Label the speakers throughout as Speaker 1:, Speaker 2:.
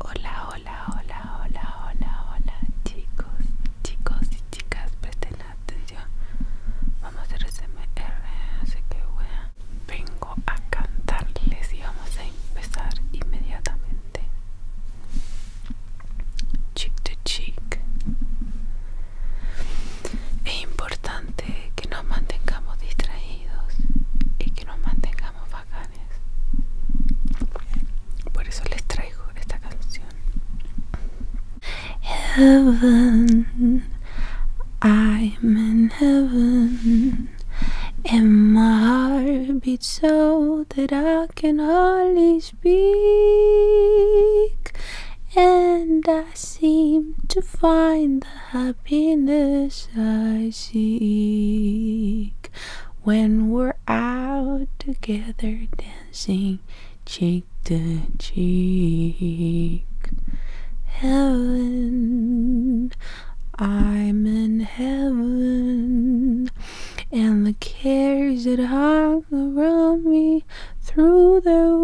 Speaker 1: Hola, hola, hola, hola, hola, hola, chicos, chicos y chicas, presten atención. Vamos a hacer SMR, así que wea. Vengo a cantarles y vamos a empezar inmediatamente. Cheek to cheek. Es importante que nos mantengamos distraídos y que nos mantengamos vacantes Heaven, I'm in heaven, and my heart beats so that I can hardly speak, and I seem to find the happiness I seek when we're out together dancing cheek to cheek. Heaven, I'm in heaven, and the cares that hang around me through the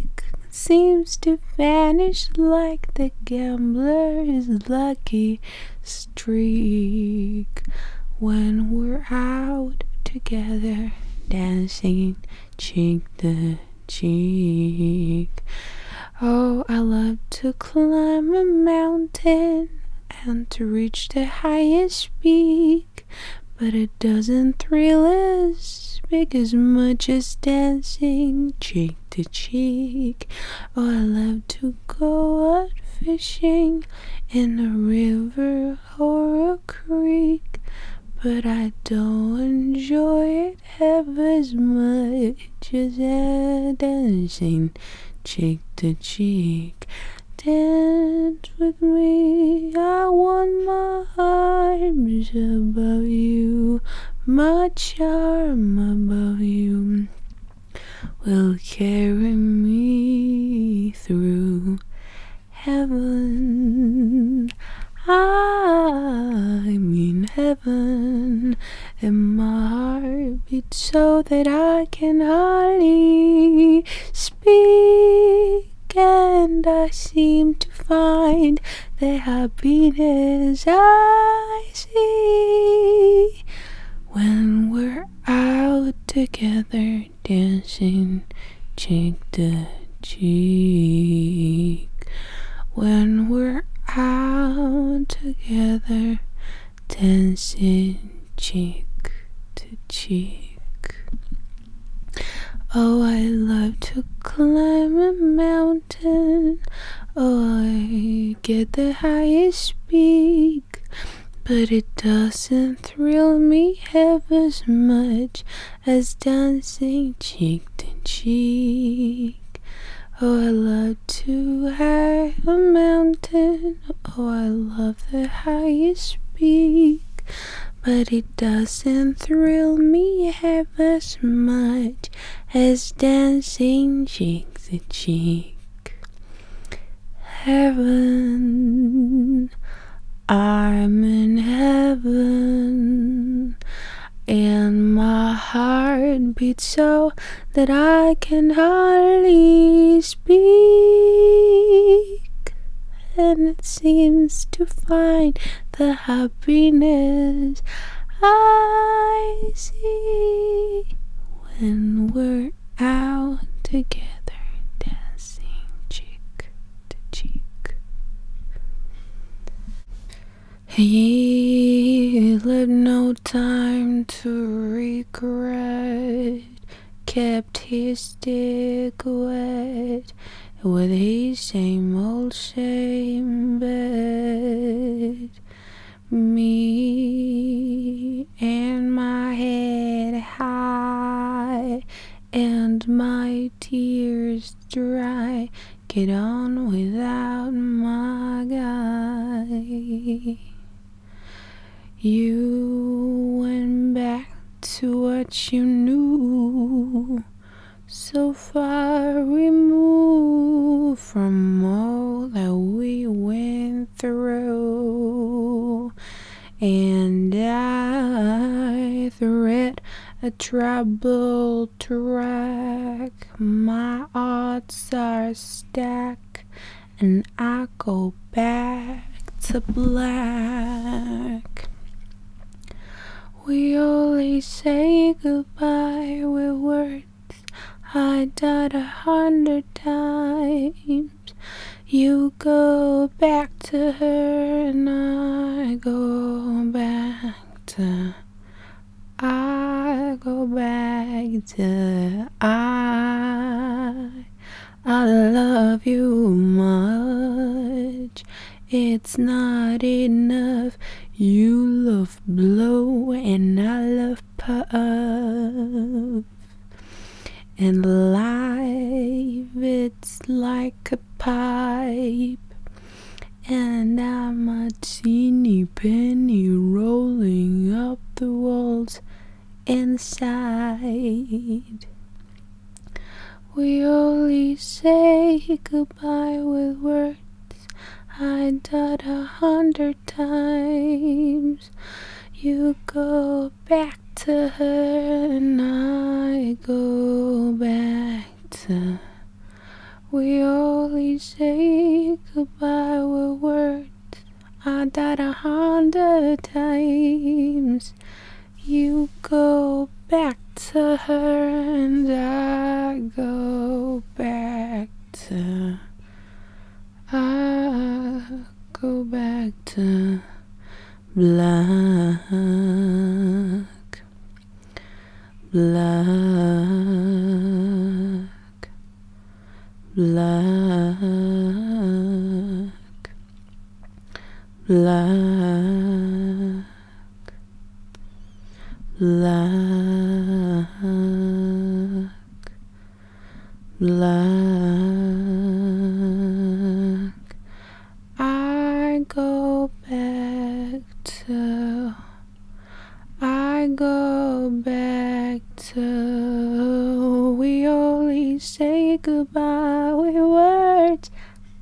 Speaker 1: week seems to vanish like the gambler's lucky streak when we're out together dancing cheek the cheek. Oh, I love to climb a mountain and to reach the highest peak, but it doesn't thrill us big as much as dancing cheek to cheek. Oh, I love to go out fishing in a river or a creek, but I don't enjoy it half as much as dancing cheek to cheek. Dance with me, I want my arms above you, my charm above you will carry me through heaven. I'm in heaven, and my heart beats so that I can hardly speak. And I seem to find the happiness I when we're out together dancing cheek to cheek. When we're out together dancing cheek to cheek. Oh, I love to climb a mountain. I get the highest peak But it doesn't thrill me half as much As dancing cheek to cheek Oh, I love to high a mountain Oh, I love the highest peak but it doesn't thrill me half as much as dancing cheek to cheek. Heaven, I'm in heaven, and my heart beats so that I can hardly speak. And it seems to find the happiness I see when we're out together dancing cheek to cheek. He lived no time to regret, kept his stick wet with his same old same bed me and my head high and my tears dry get on without my guy you went back to what you knew so far removed from all that we went through, and I thread a troubled track. My odds are stacked, and I go back to black. We only say goodbye. We were I died a hundred times. You go back to her, and I go back to. I go back to. I. I love you much. It's not enough. You love blow, and I love and life, it's like a pipe. And I'm a teeny penny rolling up the walls inside. We only say goodbye with words I died a hundred times. You go back to her, and I go back to. We only say goodbye with words. I died a hundred times. You go back to her, and I go back to. I go back to black, black, black, black, black luck. I go back to, I go back to, we only say goodbye with words.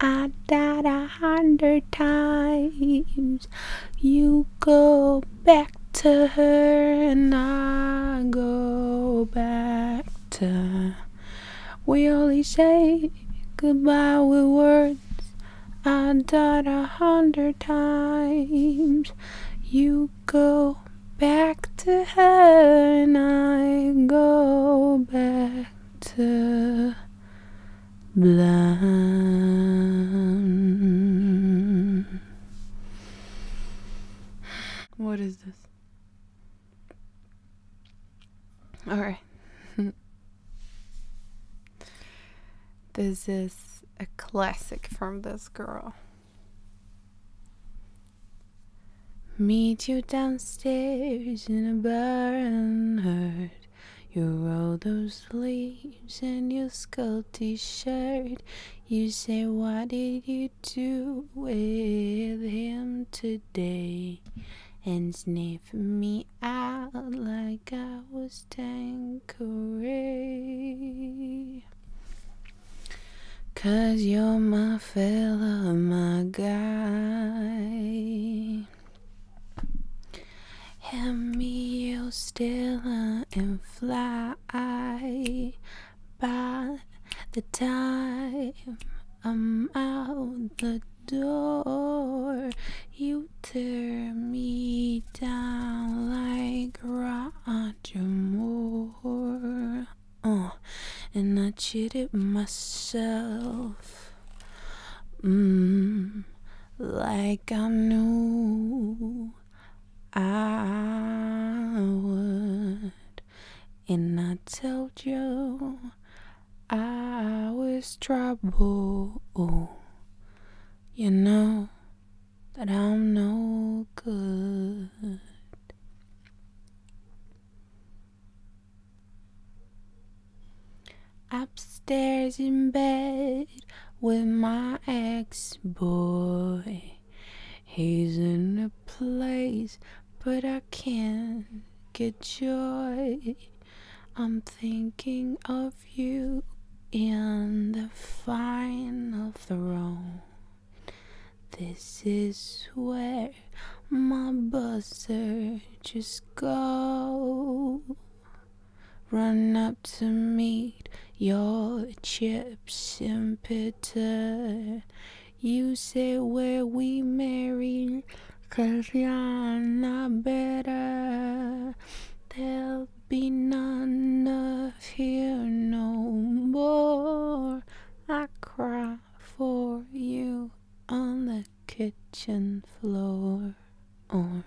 Speaker 1: I died a hundred times. You go back back to her and I go back to We only say goodbye with words I have died a hundred times You go back to her and I go back to blind what is this? All right. this is a classic from this girl. Meet you downstairs in a bar and hurt. You roll those sleeves and you skull little t shirt. You say, What did you do with him today? And sniff me out like I was Tanqueray. Cause you're my fella, my guy. Hand me your Stella and fly I by the time I'm out the door. You tear me down like Roger Moore. Oh, and I cheated myself. Mm, like I knew I would, and I told you I was trouble. You know that I'm no good. Upstairs in bed, with my ex boy. He's in a place, but I can't get joy. I'm thinking of you in the final throne. This is where my buzzer just go. Run up to meet your chips and bitter. You say where we marry, cause you're not better. There'll be none of here no more. I cry for you on the kitchen floor. Or,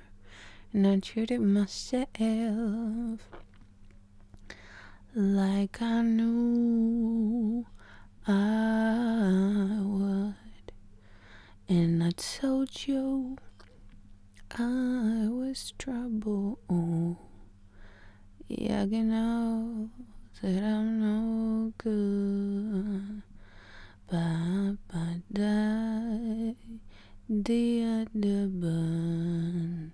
Speaker 1: and I treated myself like I knew I would, and I told you I was trouble. Yeah, you know that I'm no good, but but die the other burn.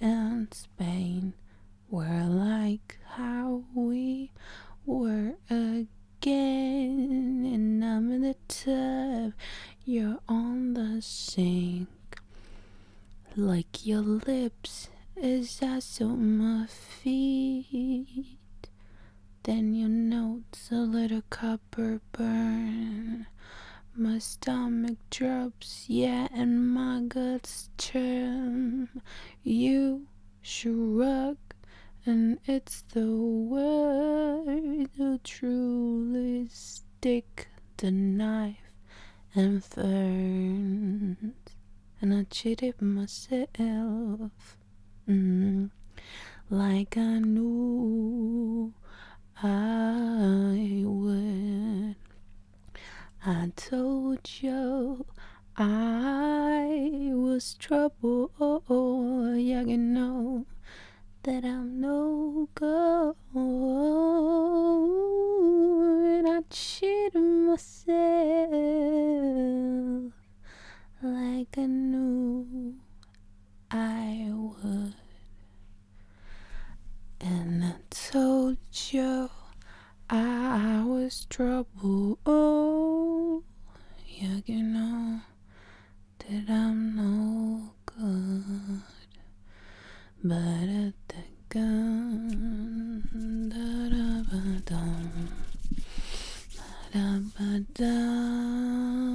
Speaker 1: and Spain were like how we were again in I'm in the tub, you're on the sink. Like your lips as I soak my feet. Then your notes a little copper burn. My stomach drops, yeah, and my guts churn. You shrug, and it's the way to truly stick the knife and ferns. And I cheated myself, mm, like I knew. I would. I told you I was trouble. Yeah, you know that I'm no good. And I cheated myself like I knew I would. And I told you I was trouble. Oh, yeah, you know that I'm no good. But at the gun, da da ba da da ba dum.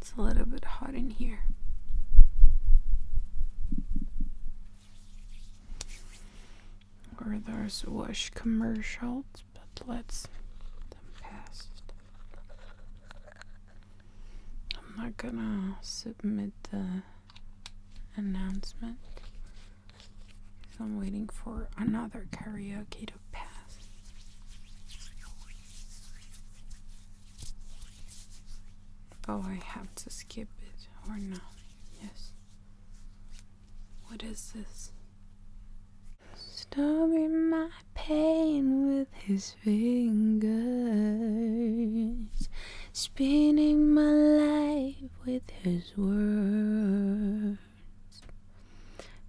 Speaker 1: It's a little bit hot in here. Or those wash commercials, but let's them past. I'm not gonna submit the announcement. So I'm waiting for another karaoke to pass. Oh, I have to skip it or not. Yes. What is this? Stirring my pain with his fingers, spinning my life with his words,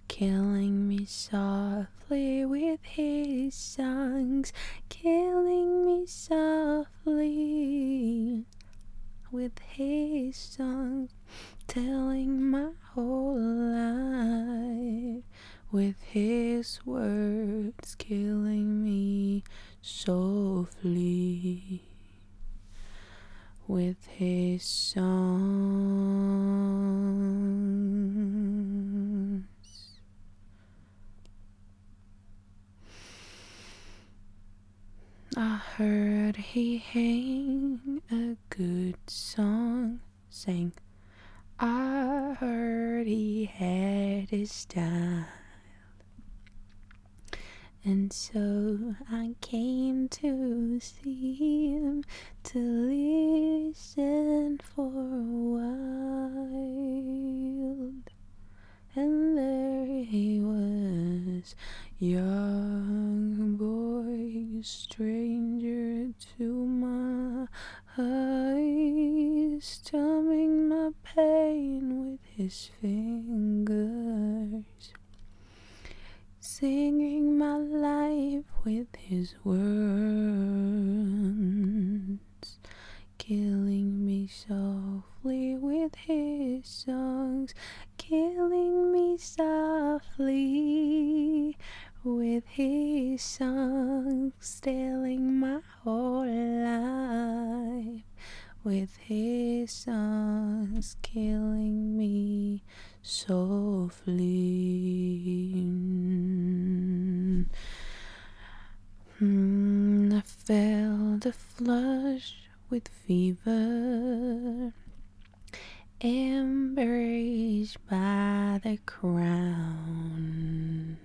Speaker 1: killing me soft. Play with his songs, killing me softly with his songs, telling my whole life with his words, killing me softly with his songs. I heard he hang a good song, sang. I heard he had his style. And so I came to see him to listen for a while, and there he was, young boy, stranger to my eyes, numbing my pain with his fingers. Singing my life with his words killing me softly with his songs, killing me softly with his songs, stealing my whole life with his songs, killing me softly. Mm, I felt a flush with fever, embraced by the crown.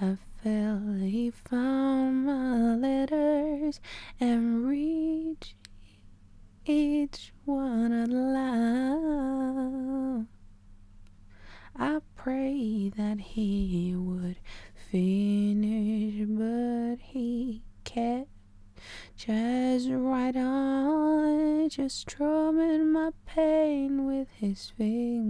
Speaker 1: I felt he found my letters and reached each one aloud. I pray that he would finish, but he can't. Just right on, just drumming my pain with his fingers,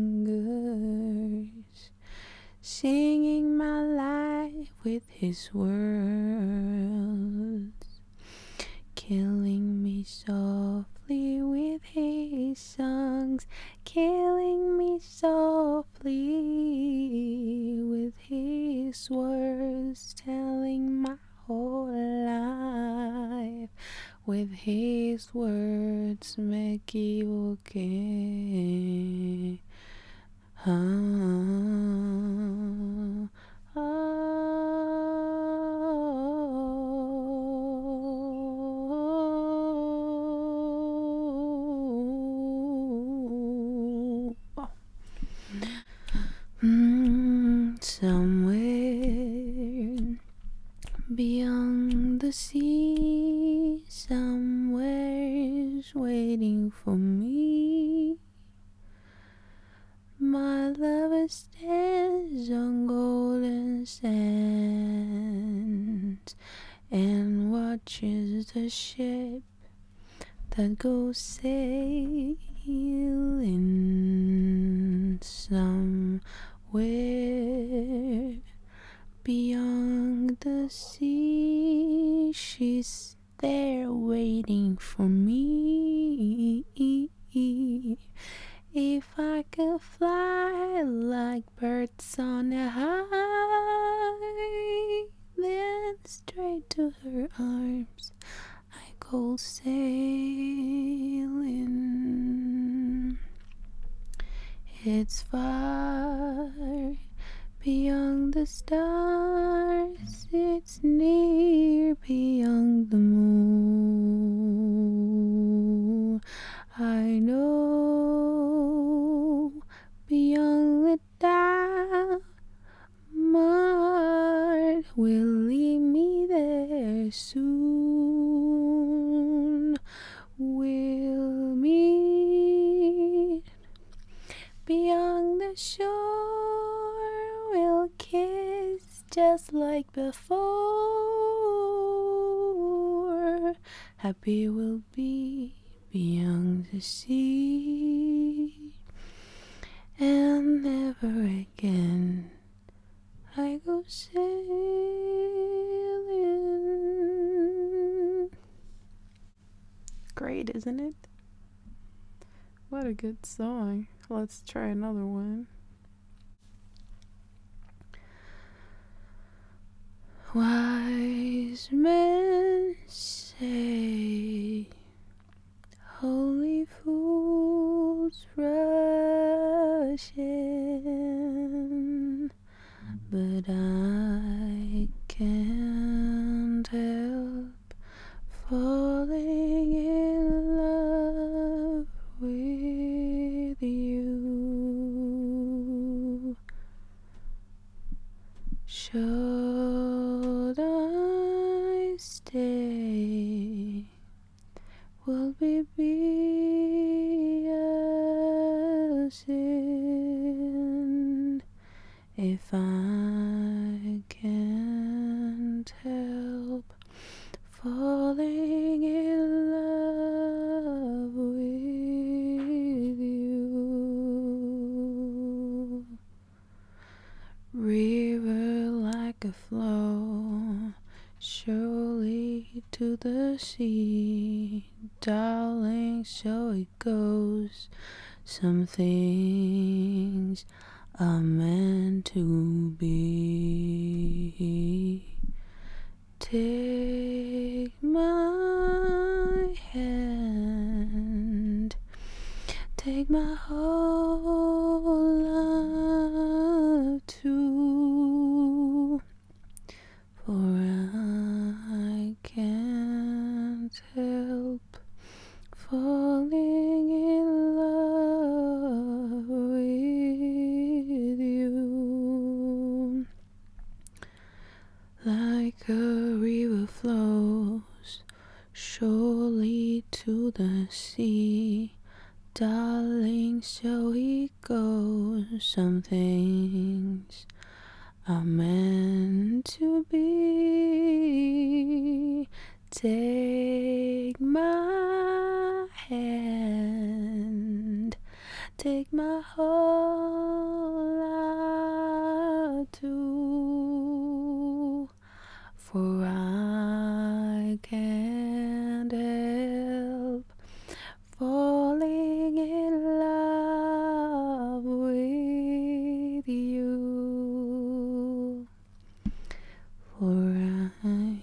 Speaker 1: singing my life with his words, killing me softly with his songs killing me softly with his words telling my whole life with his words me equivoqué ah, oh. Oh, somewhere beyond the sea, somewhere's waiting for me. My love is stands on golden sands and watches the ship that goes sailing somewhere beyond the sea. She's there waiting for me. If I could fly like birds on a high, then straight to her arms I go sailing. It's far beyond the stars, it's near beyond the moon. I know beyond the doubt my heart will lead me there soon. We'll meet beyond the shore. We'll kiss just like before. Happy will be beyond the sea. And never again I go sailing. Great, isn't it? What a good song. Let's try another one. Wise men say, holy fools rush in, but I can't help falling in love with you. Should I stay? Will we be as if I can't help falling in love with you. River like a flow, surely to the sea, darling, so it goes. Some things are meant to be. Take my hand, take my whole life too, for I can't help falling in love with you. Like a river flows surely to the sea, darling, so he goes. Some things are meant to be. Take my hand. Take my whole life too, for I can't help falling in love with you. For I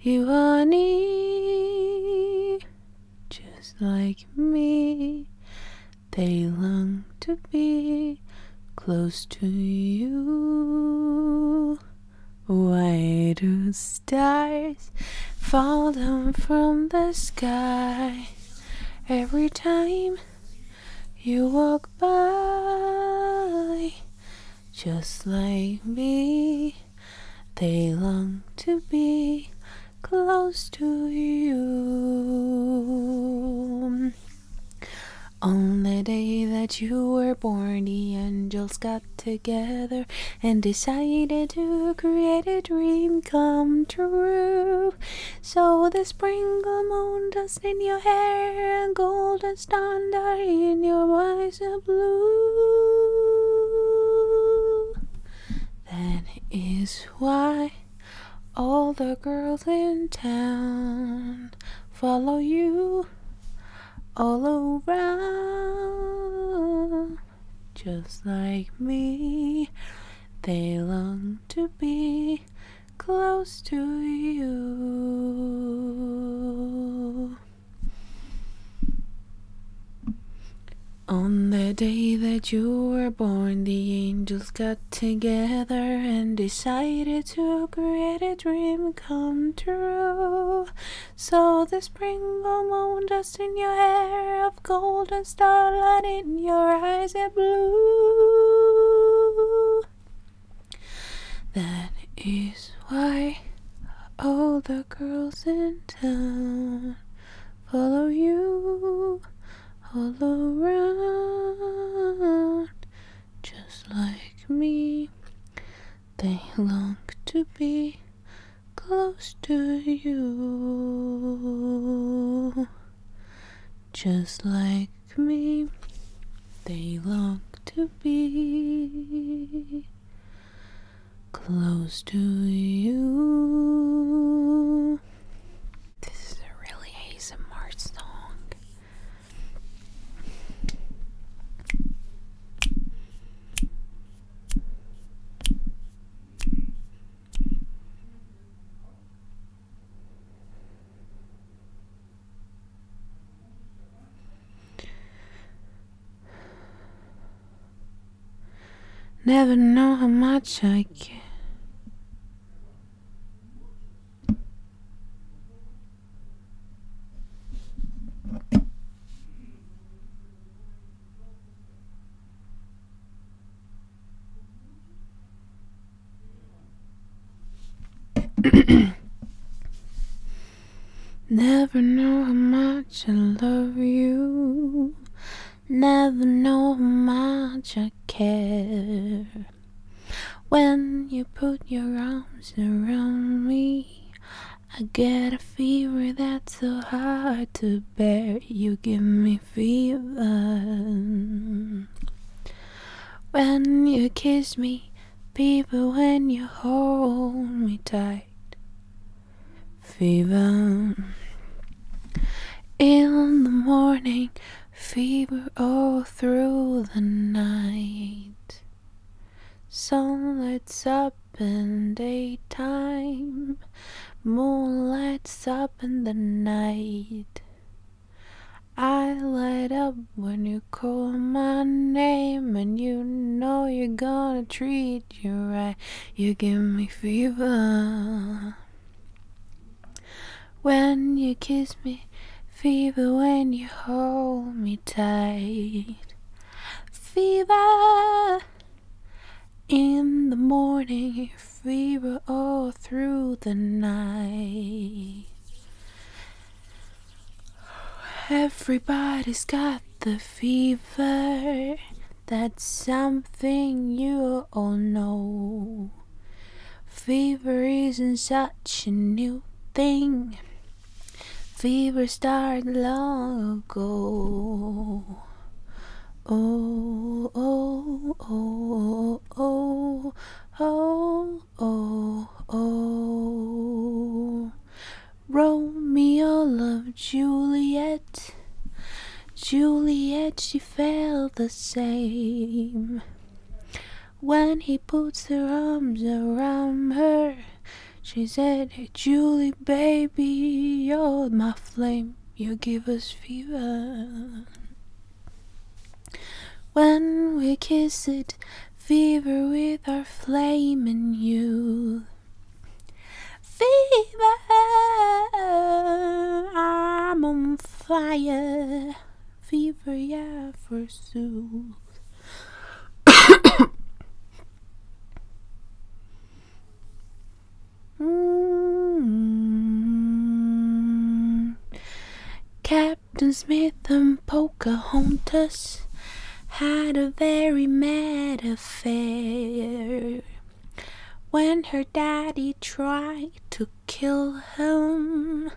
Speaker 1: You are near, just like me. They long to be close to you. Why do stars fall down from the sky every time you walk by? just like me. They long to be close to you. On the day that you were born, the angels got together and decided to create a dream come true. So the sprinkle moon dust in your hair and golden is thunder in your eyes are blue. That is why all the girls in town follow you all around. Just like me, they long to be close to you. On the day that you were born, the angels got together and decided to create a dream come true. So the sprinkle moon dust in your hair of gold and starlight in your eyes of blue. That is why all the girls in town follow you all around, just like me. They long to be close to you, just like me. They long to be close to you. This is a really ASMR song. Never know how much I care. Never know how much I love you. Never know how much I care. When you put your arms around me, I get a fever that's so hard to bear. You give me fever. When you kiss me, Fever when you hold me tight, fever in the morning, fever all through the night. lights up in daytime, moonlight's up in the night. I light up when you call my name and you know you're gonna treat you right, you give me fever. When you kiss me, fever when you hold me tight. Fever in the morning, fever all through the night. Everybody's got the fever. That's something you all know. Fever isn't such a new thing. Fever started long ago. Oh, oh, oh, oh, oh, oh, oh. Romeo loved Juliet. Juliet, she felt the same. When he puts her arms around her, she said, Julie, baby, you're my flame. You give us fever. When we kiss it, Fever with our flaming youth. Fever, I'm on fire. Fever, yeah, forsooth. mm -hmm. Captain Smith and Pocahontas had a very mad affair. When her daddy tried to kill him,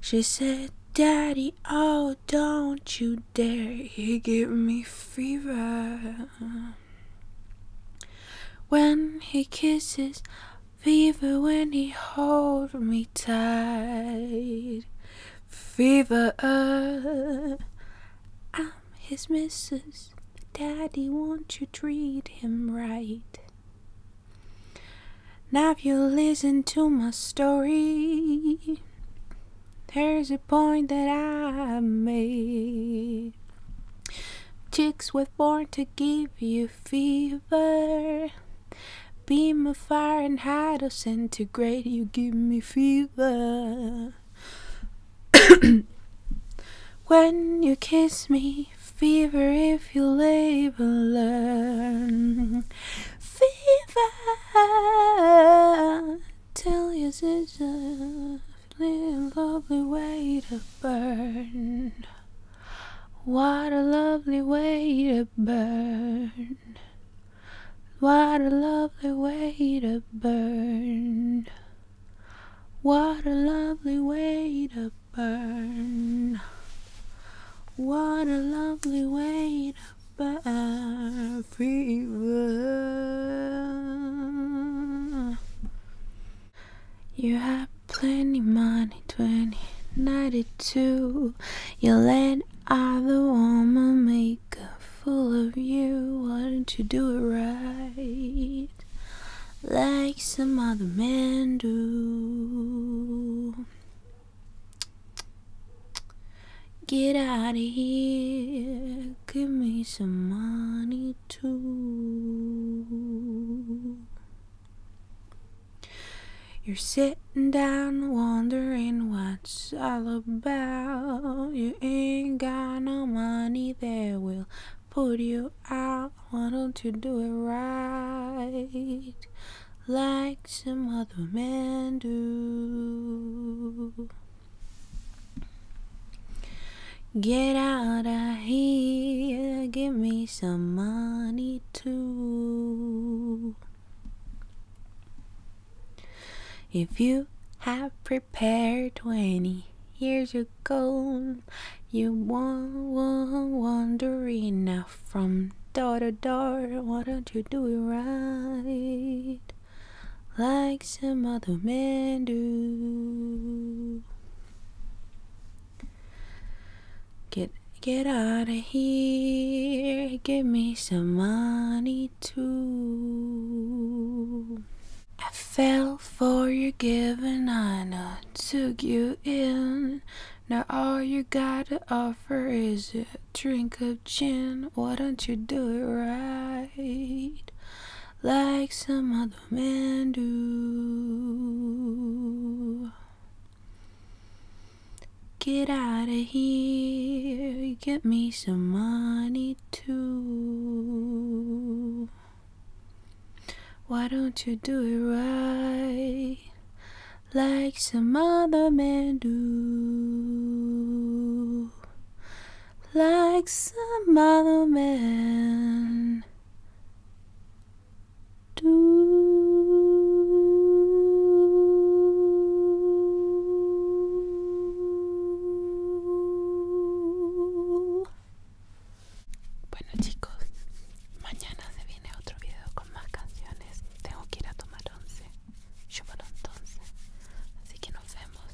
Speaker 1: she said, Daddy, oh, don't you dare, you give me fever. When he kisses, fever when he holds me tight fever. Uh. I'm his missus. Daddy, won't you treat him right? Now, if you listen to my story, there's a point that I made. Chicks were born to give you fever. Beam of fire and how to centigrade, you give me fever. when you kiss me, fever if you labor learn. Fever, tell your sister, a lovely way to burn. What a lovely way to burn. What a lovely way to burn. What a lovely way to burn. What a lovely way to burn. Fever. You have plenty money, 2092. You let I the woman make a fool of you. Why don't you do it right? Like some other men do. Get out of here. Give me some money too. You're sitting down wondering what's all about. You ain't got no money that will put you out. Why don't you do it right like some other men do? Get out of here, give me some money too. If you have prepared 20 years ago, you won't, won't wander enough from door to door. Why don't you do it right? Like some other men do. Get Get out of here, give me some money too. I fell for your giving, I took you in. Now all you got to offer is a drink of gin. Why don't you do it right, like some other men do? Get out of here, get me some money too. Why don't you do it right like some other men do? Like some other men do. Bueno chicos, mañana se viene otro video con más canciones. Tengo que ir a tomar once. Yo por entonces. Así que nos vemos.